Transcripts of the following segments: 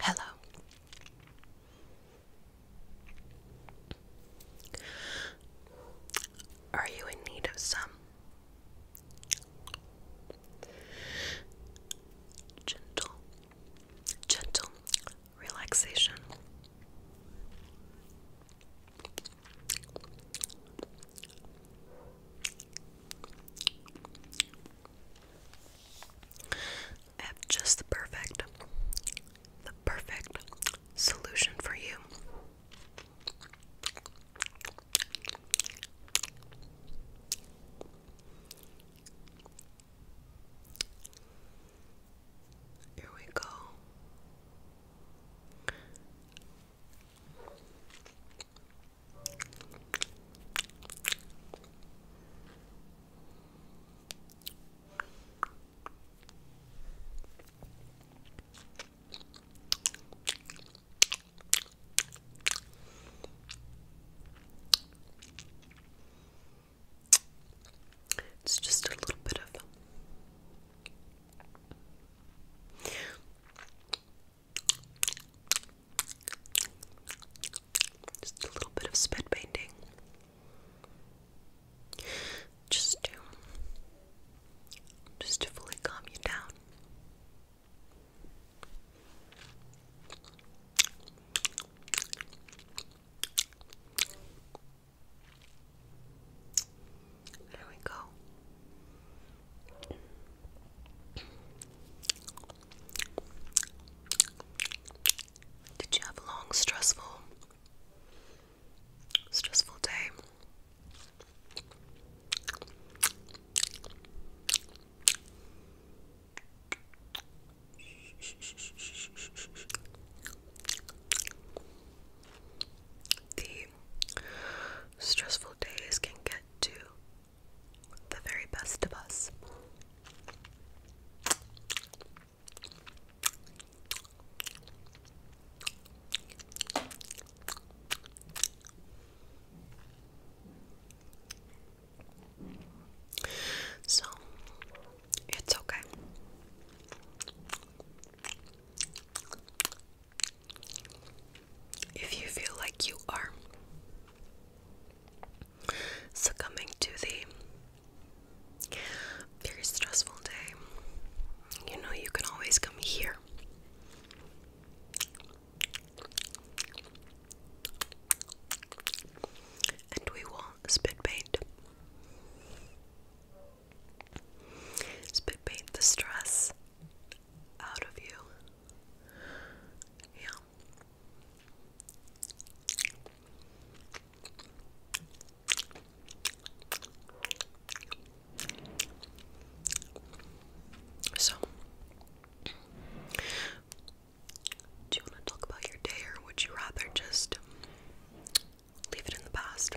Hello. Are you in need of some gentle, gentle relaxation? I have just the perfect, the perfect solution for you. Here we go. It's just a little bit of just a little bit of spit painting. Just to just to fully calm you down. There we go. Did you have a long, stressful, stressful day? The stressful days can get to the very best of us. So it's okay. If you feel like you are succumbing to the very stressful day, you know you can always come here. And we will spit paint. Spit paint the stress out of you. Yeah. So, do you want to talk about your day, or would you rather just leave it in the past?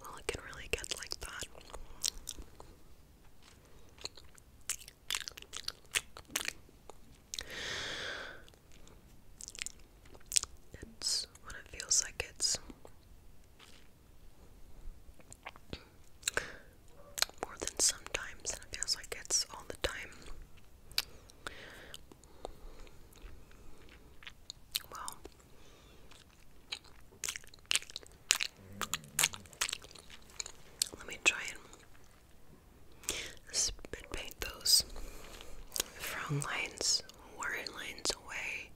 Well, it can really get like that. It's what it feels like it's more than sometimes, it feels like it's all the time. Well, let me try and spit paint those frown lines, worry lines away,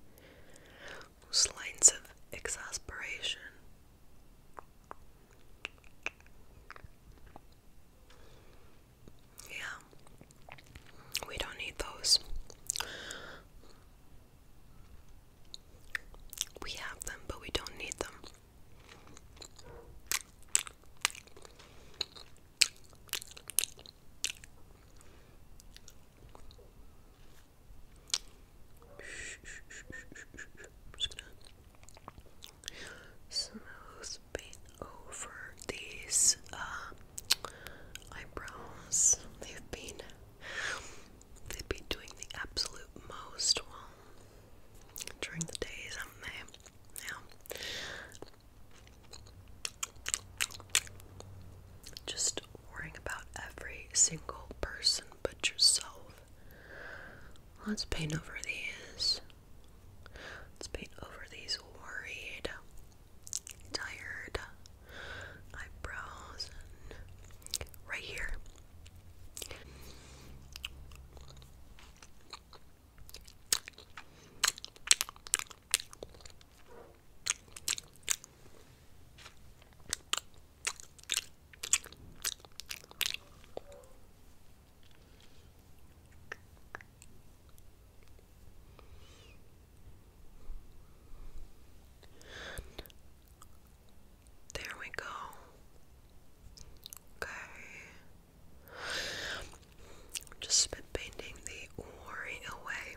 those lines of exasperation. Yeah. We don't need those. We have them, but we don't need them. I'm just gonna smoothing over these uh, eyebrows. They've been they've been doing the absolute most well during the days, haven't Now, just worrying about every single person but yourself Let's paint over these. Let's paint over these worried, tired eyebrows right here. There we go. Okay. Just spit painting the worry away.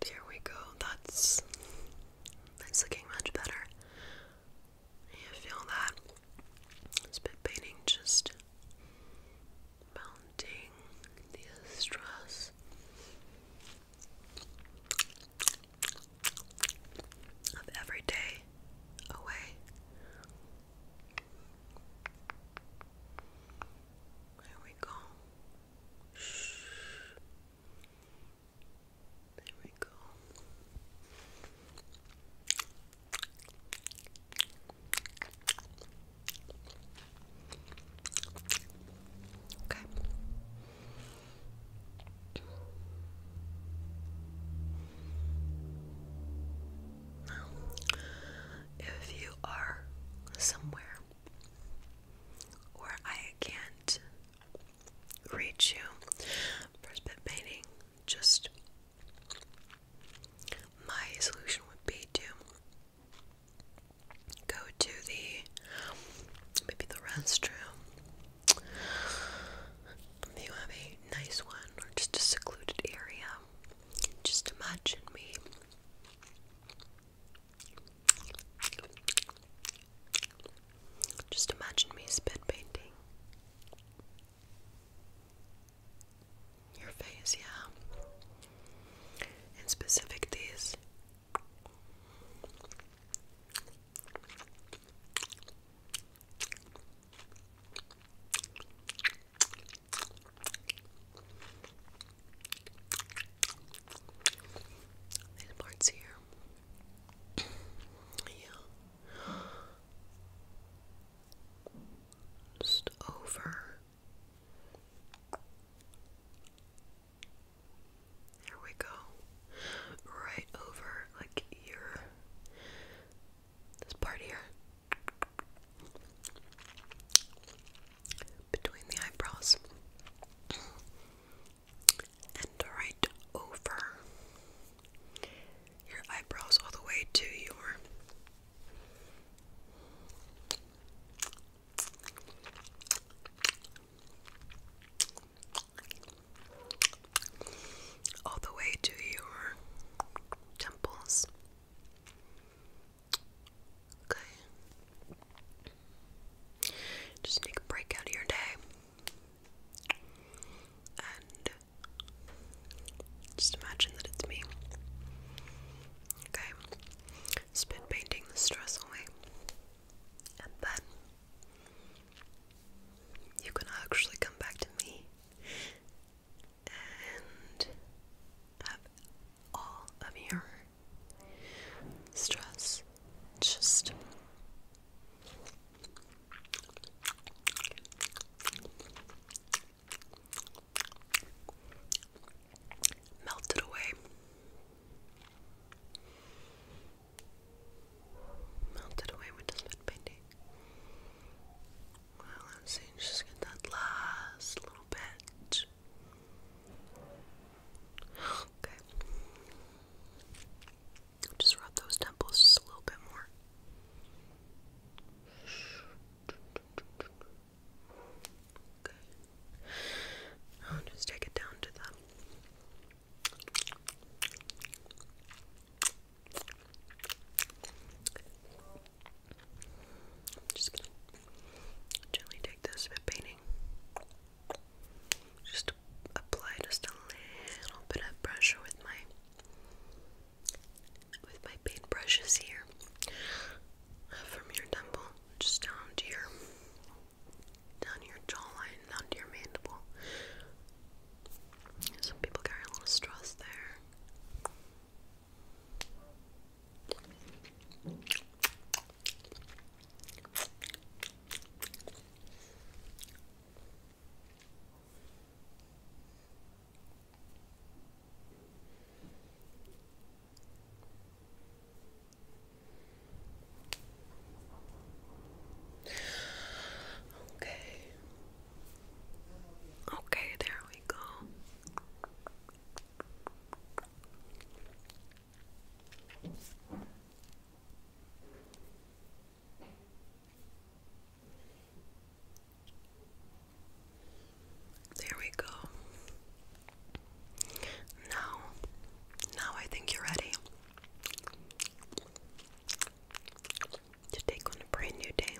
There we go. That's that's looking much better. You feel that? It's painting just mounting the stress. Of every day away. There we go. Shh. There we go. Okay. Now, if you are somewhere or I can't reach you. First bit painting, just my solution would be to go to the maybe the restroom. Maybe you have a nice one or just a secluded area. Just imagine me just imagine me spit painting your face, yeah. In specific, these parts here. yeah. Just over. There we go. Right over, like your this part here between the eyebrows and right over your eyebrows, all the way to your all the way to your temples. Okay. Just take a break out of your day. And just imagine that it's me. Okay. Spin painting the stress away. And then you can actually come back to me and have all of your stress just melted away. Melted away with this bit painting. Well, let's see, just get that last little bit. Okay. Just rub those temples just a little bit more. Okay. I'll just take it down to them. just gently take this bit painting just apply just a little bit of pressure with my with my paintbrushes here from your temple just down to your down your jawline, down to your mandible. Some people carry a little stress there. Okay. Okay, there we go. There we go. Now, now I think you're ready to take on a brand new day.